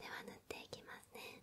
では塗っていきますね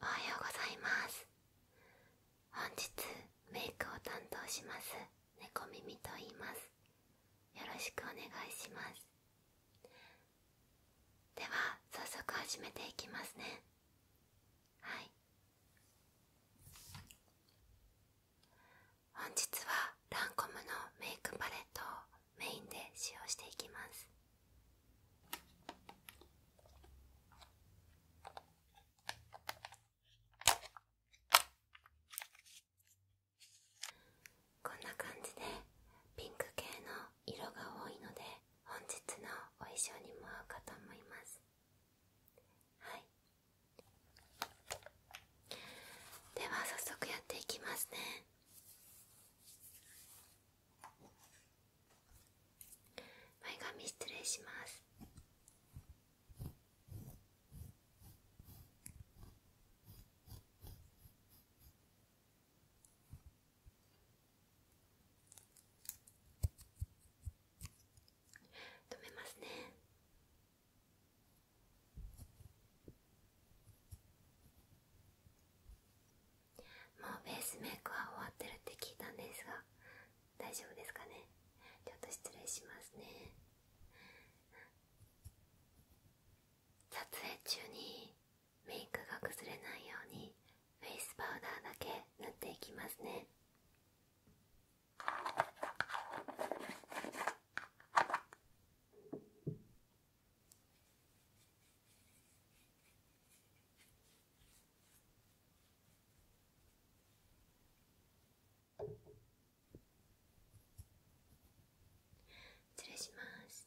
おはようございます本日メイクを担当します猫耳と言いますよろしくお願いしますでは早速始めていきますねはい本日はランコムのメイクパレットをメインで使用していきますこんな感じでピンク系の色が多いので本日のお衣装にも合うかと思いますはいでは早速やっていきますね前髪失礼します止めますねもうベースメイクは終わってるって聞いたんですが大丈夫ですかねちょっと失礼しますね撮影中にメイクが崩れないようにフェイスパウダーだけ塗っていきますね失礼します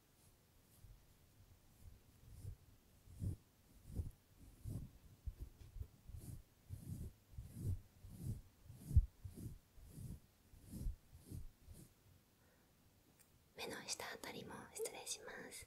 目の下あたりも失礼します。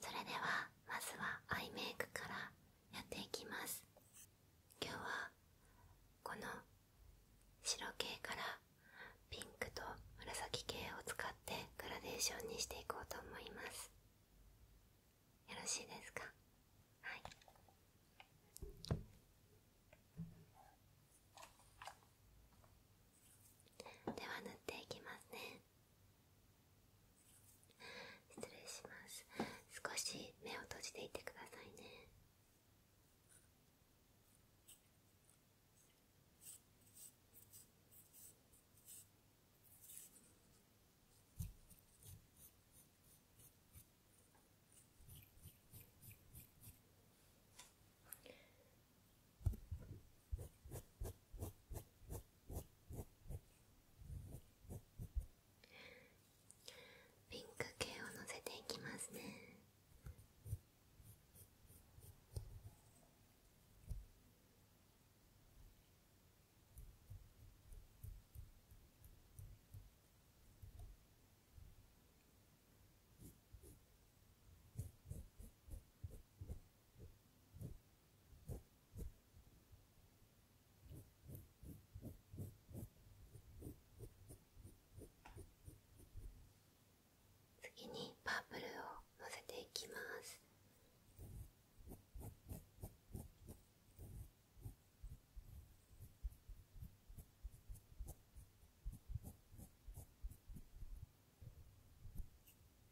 それではまずはアイメイクからやっていきます今日はこの白系からピンクと紫系を使ってグラデーションにしていこうと思いますよろしいですかはいでは塗っていきますね失礼します少し目を閉じていてくださいねピンク系をのせていきますね次にパープルをのせていきます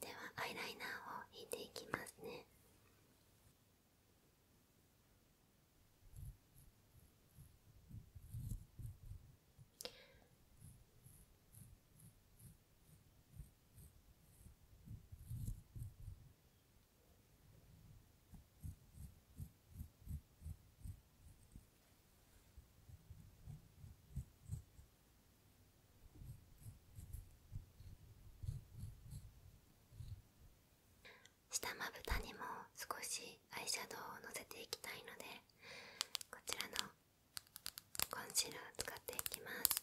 ではアイライナーを引いていきますね下まぶたにも少しアイシャドウをのせていきたいのでこちらのコンシーラーを使っていきます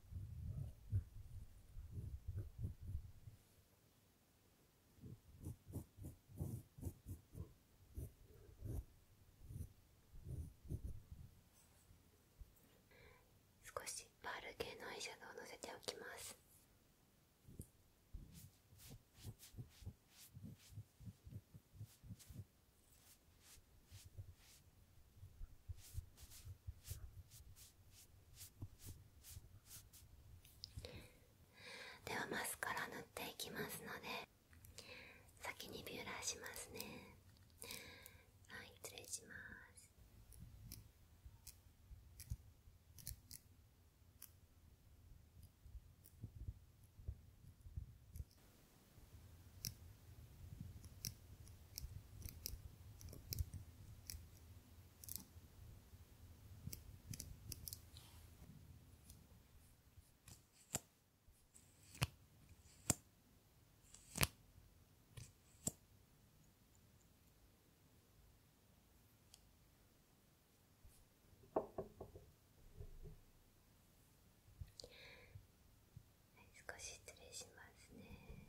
少しパール系のアイシャドウをのせておきます。ではマスカラ塗っていきますので先にビューラーしますねはい失礼します少し失礼しますね。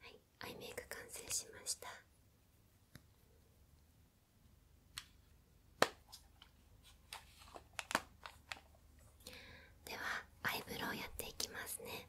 はいアイメイク完成しましたではアイブロウやっていきますね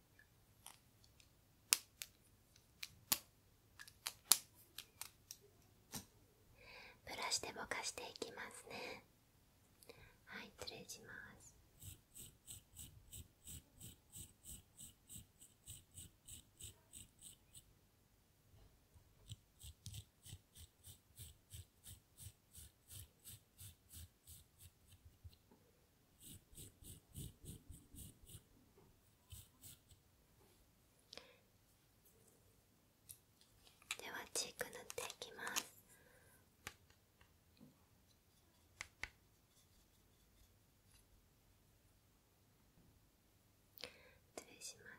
ブラシでぼかしていきますねはい失礼しますではチーク塗っていきます失礼します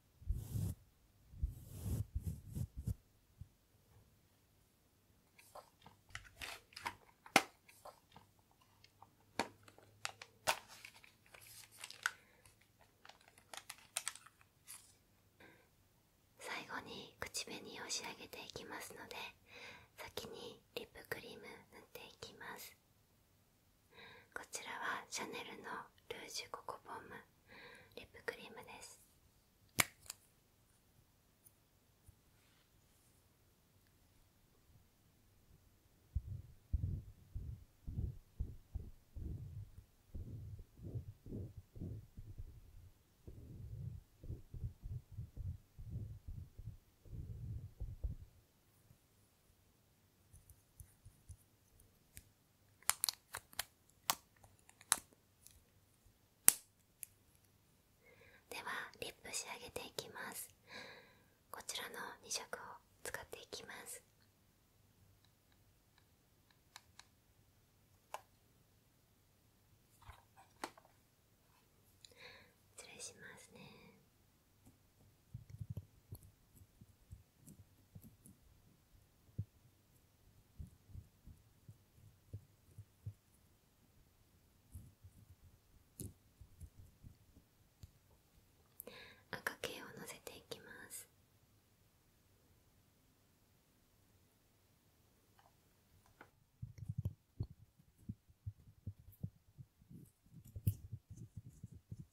最後に口紅を仕上げていきますので先にリップクリーム塗っていきますこちらはシャネルのルージュココボムリップクリームですではリップ仕上げていきますこちらの2色を使っていきます失礼しますね赤系をのせていきます。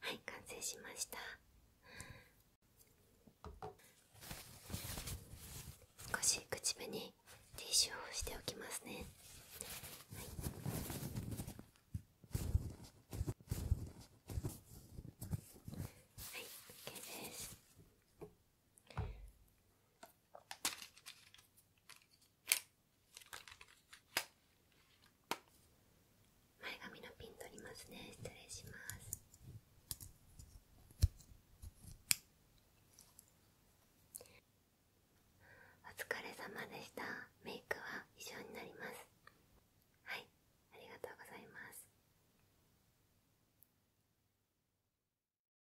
はい完成しました少し口紅ティッシュをしておきますね、はいはい、OK です前髪のピン取りますね失礼しますお疲れ様でしたメイクは以上になりますはいありがとうございます